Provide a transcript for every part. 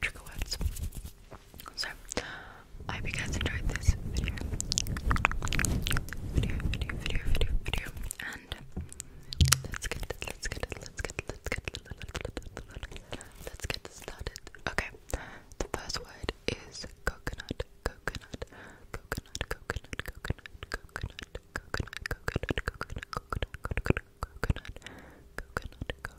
trigger words. So, I hope you guys enjoyed this video. Video, video, video, video, And let's get let's get let's get let's get let's get started. Okay, the first word is coconut, coconut, coconut, coconut, coconut, coconut, coconut, coconut, coconut, coconut, coconut, coconut, coconut,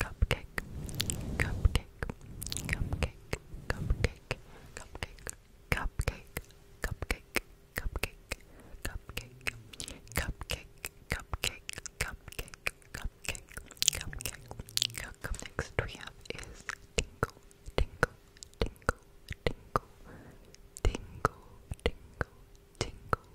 cupcake, cupcake, cupcake, cupcake, cupcake, cupcake, cupcake, cupcake, cupcake, cupcake, cupcake, cupcake, cupcake, cupcake, cupcake. Come next we have is tingle, tingle, tingle, tingle, tingle, tingle, tingle,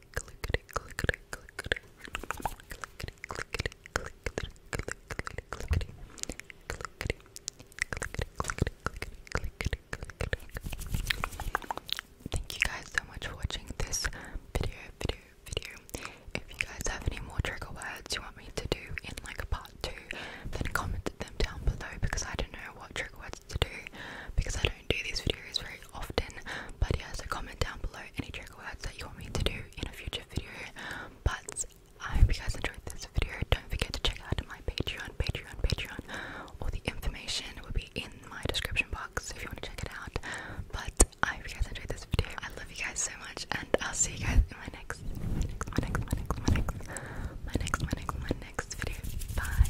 Thank you guys so much for watching this video, video, video. If you guys have any more trigger words you want me to do in like a part two, then comment them down below because I don't know what trigger words to do because I don't do these videos very often. But yeah, so comment down below any trick words that you want me to do in a future video. But I hope you guys enjoyed this video. Don't forget to check out my Patreon, Patreon, Patreon. All the information will be in my description box if you want to check it out. But I hope you guys enjoyed this video. I love you guys so much, and I'll see you guys in my next, my next, my next, my next, my next, my next, my next, my next video. Bye.